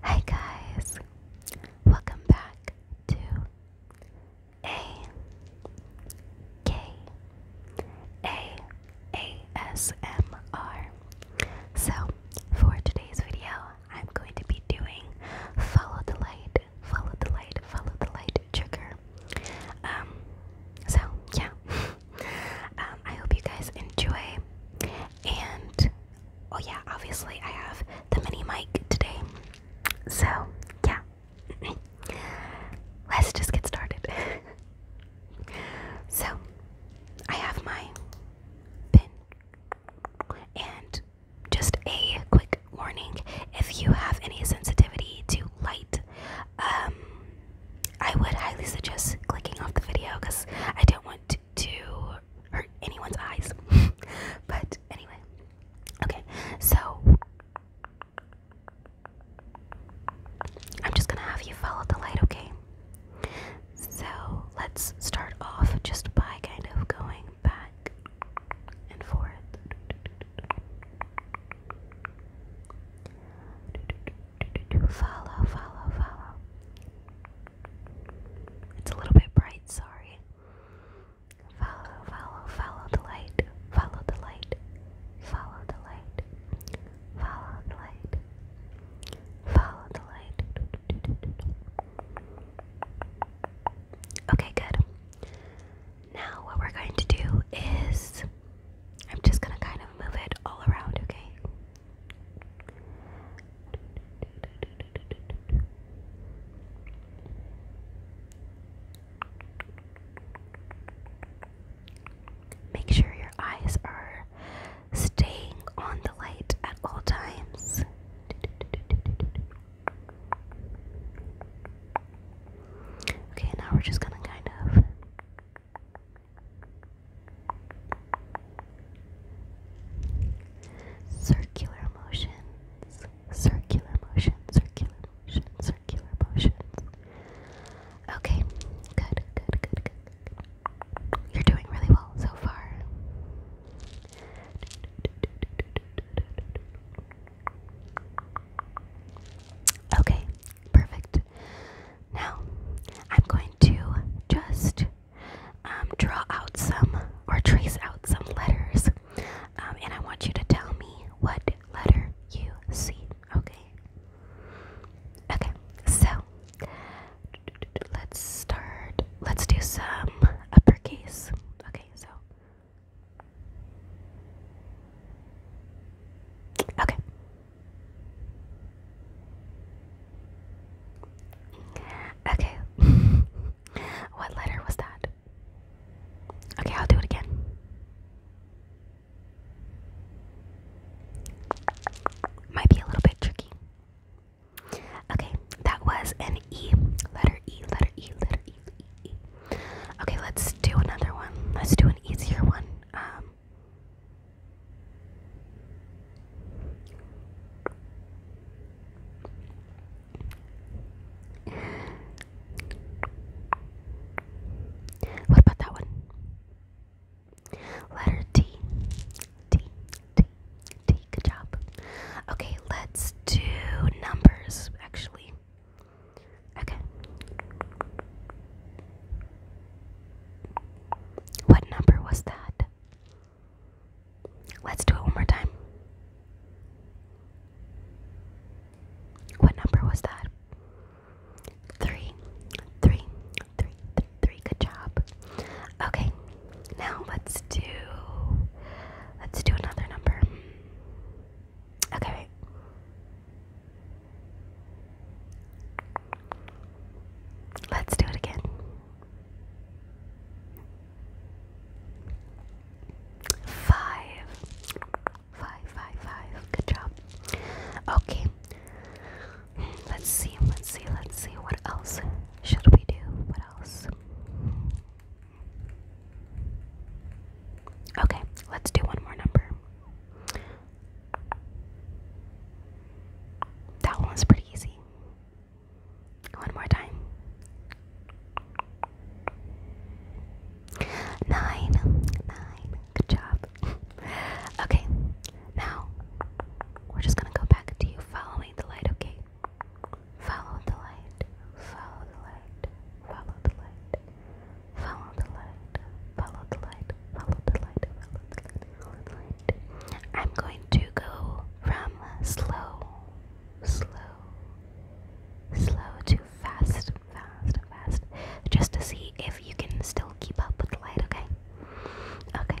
Hi guys, welcome back to A K A A S M R. So for today's video, I'm going to be doing follow the light, follow the light, follow the light trigger. Um, so yeah. Um, I hope you guys enjoy. And oh, yeah, obviously, I have the mini mic today. So, yeah. Let's just get started. so, I have my pin. And just a quick warning if you have any sensitivity to light, um, I would highly suggest clicking off the video because I don't want to, to hurt anyone's eyes. but anyway, okay, so I'm just gonna have you follow the light, okay? So let's start off just by kind of going back and forth. Follow, follow, follow. It's a little bit bright, sorry. Follow, follow, follow the light. Follow the light. Follow the light. Follow the light. Follow the light. Okay, good. Now, what we're going to do is I'm just gonna kind of move it all around, okay? Make sure your eyes are staying on the light at all times. Okay, now we're just gonna kind of Circular motions, circular motion, circular motion, circular motions. Okay, good, good, good, good. You're doing really well so far. Okay, Perfect. Now, I'm going to just um, draw out some or trace out some letters, um, and I want you to tell me what letter you see. Okay. Okay. So let's start. Let's do some uppercase. Okay. So Okay. Okay. what letter was that? Okay, I'll do it again. Might be a little bit tricky. Okay, that was an E. Letter E, letter E, letter E, Okay, let's do another one. Let's do an easier one. Um, what about that one? Letter T. T. T. T. Good job. Okay, let's do numbers, actually. Okay. What number was that? Let's do it one more time. What number was that? Three, three, three, three, three. Good job. Okay, now let's do. Let's do another number. Okay, Let's do it again. Five. Five, Good job. Okay. Let's see, let's see, let's see. What else should we do? What else? Okay, let's do one more number. That one was pretty easy. One more time. Nine. Nine. Good job. okay, now we're just going to go back to you following the light, okay? Follow the light, follow the light, follow the light, follow the light, follow the light, follow the light, follow the light, follow the light. I'm going to go from slow, slow, slow to fast, fast, fast, just to see if you can still keep up with the light, okay? Okay.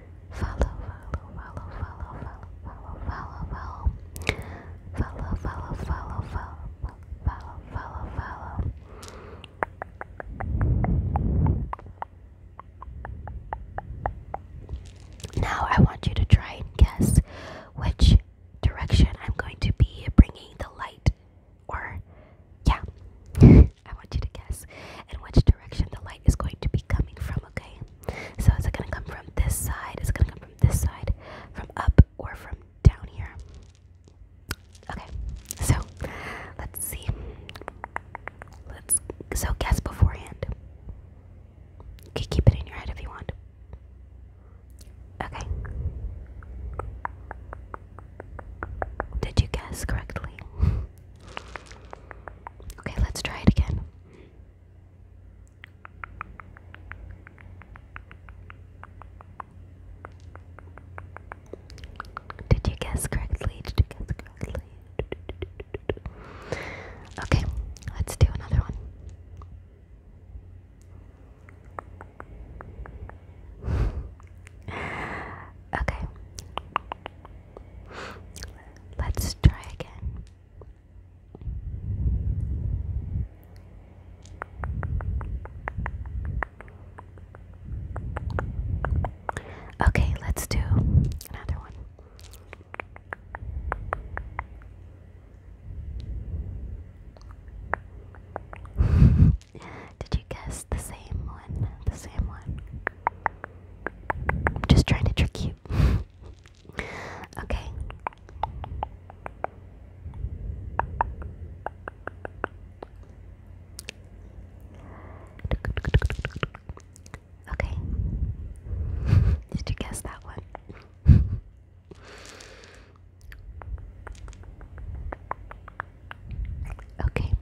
Now I want you to try and guess which direction I'm going to be bringing the light or yeah I want you to guess in which direction the light is going to be coming from, okay? So is it going to come from this side? Is it going to come from this side? From up or from down here? Okay, so let's see. Let's so guess beforehand. Okay, keep it in your head if you want. Okay. Did you guess correctly? Okay, let's try it again. Did you guess correctly? Okay, let's do another one. okay. Let's try again. Okay, let's do another one. Did you guess the same one. The same one. I'm just trying to trick you. okay. Okay. Did you guess that one? Okay,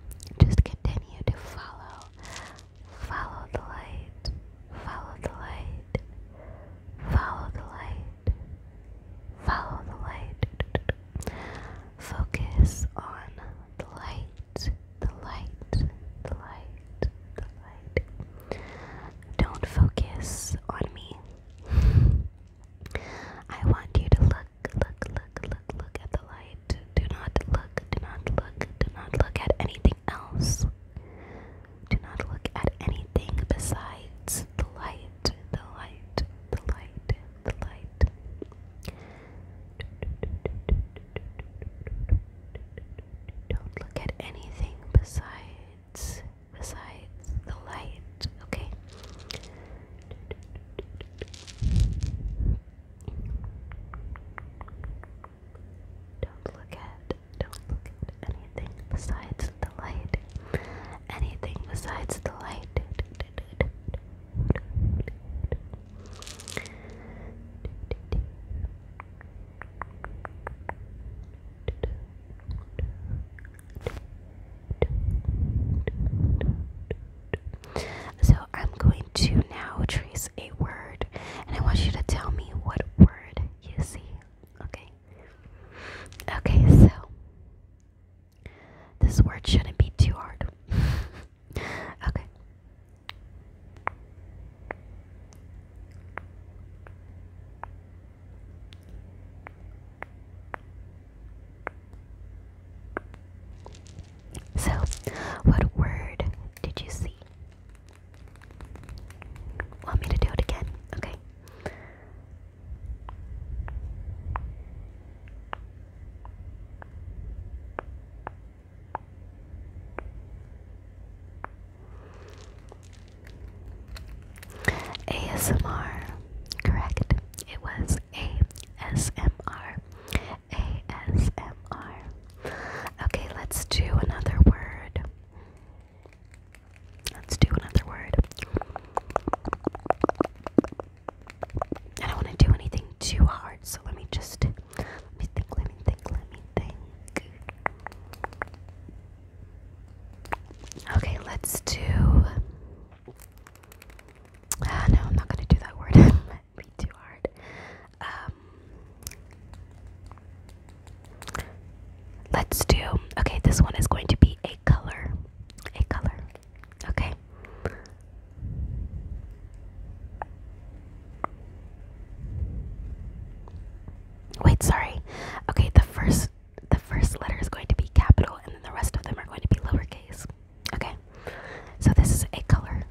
just continue to follow. Follow the light. Follow the light. Follow the light. Follow the light. Focus on the light. The light. The light. The light. Don't focus on me. I want you to look look, look, look, look at the light. Do not look, do not look, do not look at anything else. Do not look at anything besides the light, the light, the light, the light. Don't look at anything besides besides the light, okay? Don't look at, don't look at anything besides the light. Anything besides the light. So I'm going to now trace a word, and I want you to tell me what word you see. Okay. Okay. So this word shouldn't be too hard. okay. So, what word did you see? Want me to do it again? Okay. ASMR. Correct. It was ASMR. ASMR. Okay, let's do another word. Let's do another word. I don't want to do anything too hard, so let me just let me think, let me think, let me think. Okay, let's do Ah, no, I'm not gonna do that word. it might be too hard. Um, let's do. Okay, this one is going to be a color. A color. Okay. Wait, sorry. Okay, the first the first letter is going to be capital and then the rest of them are going to be lowercase. Okay, so this is a color.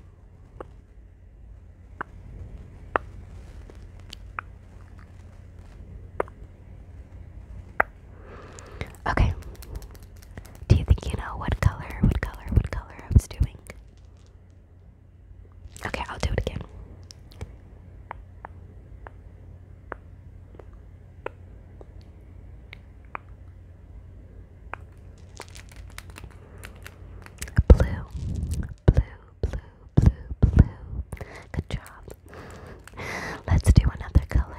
Okay, do you think you know what color, what color, what color I was doing? Okay, I'll do it again. Blue, blue, blue, blue, blue. Good job. Let's do another color.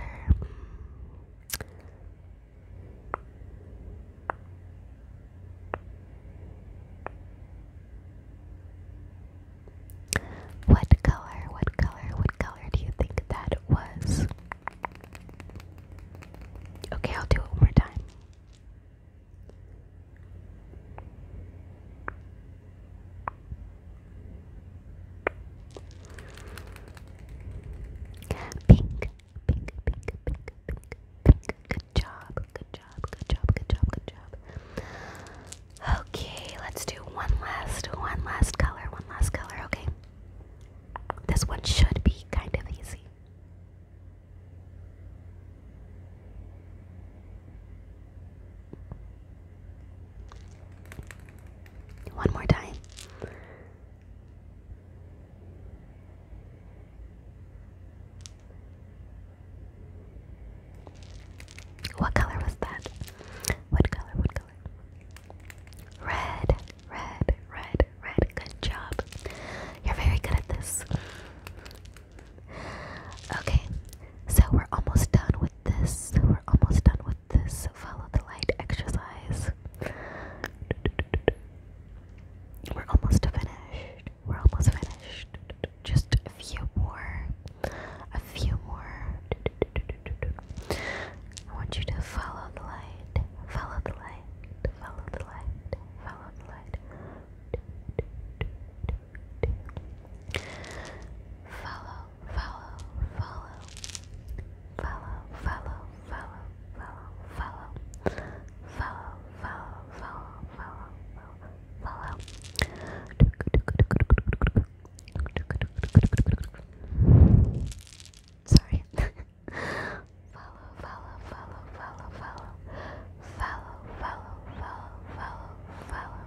What color, what color, what color do you think that was? Okay, I'll do it one more time. Pink, pink, pink, pink, pink, pink. Good job, good job, good job, good job, good job. Okay, let's do one last, one last color, one last color, okay? This one should be kind of easy. One more time. What color was that? What color? What color? Red, red, red, red. Good job. You're very good at this. Okay, so we're almost done with this. We're almost done with this. Follow the light exercise. We're almost finished. We're almost finished just a few more, a few more. I want you to follow the light, follow the light, follow the light, follow the light. Follow, follow, follow, follow, follow, follow, follow, follow, follow, follow, follow, follow. Sorry. follow, follow, follow, follow, follow. Follow, follow, follow, follow,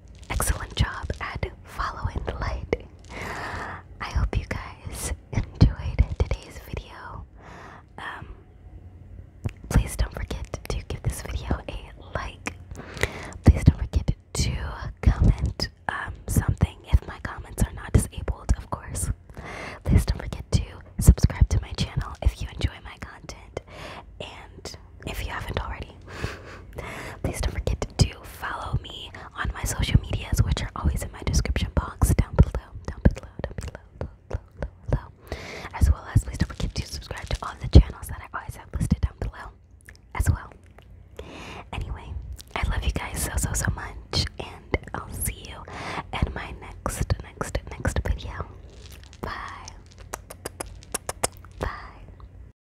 excellent job at following the light. I hope you guys enjoyed today's video. Um, please don't forget to give this video a like. Please don't forget to comment um, something if my comments are not disabled, of course. Please don't forget to subscribe to my channel if you enjoy my content and if you haven't already. Please don't forget to follow me on my social medias, which are always in my description box down below, down below, down below, below, below, below. As well as, please don't forget to subscribe to all the channels that I always have listed down below as well. Anyway, I love you guys so, so, so much, and I'll see you in my next, next, next video. Bye. Bye.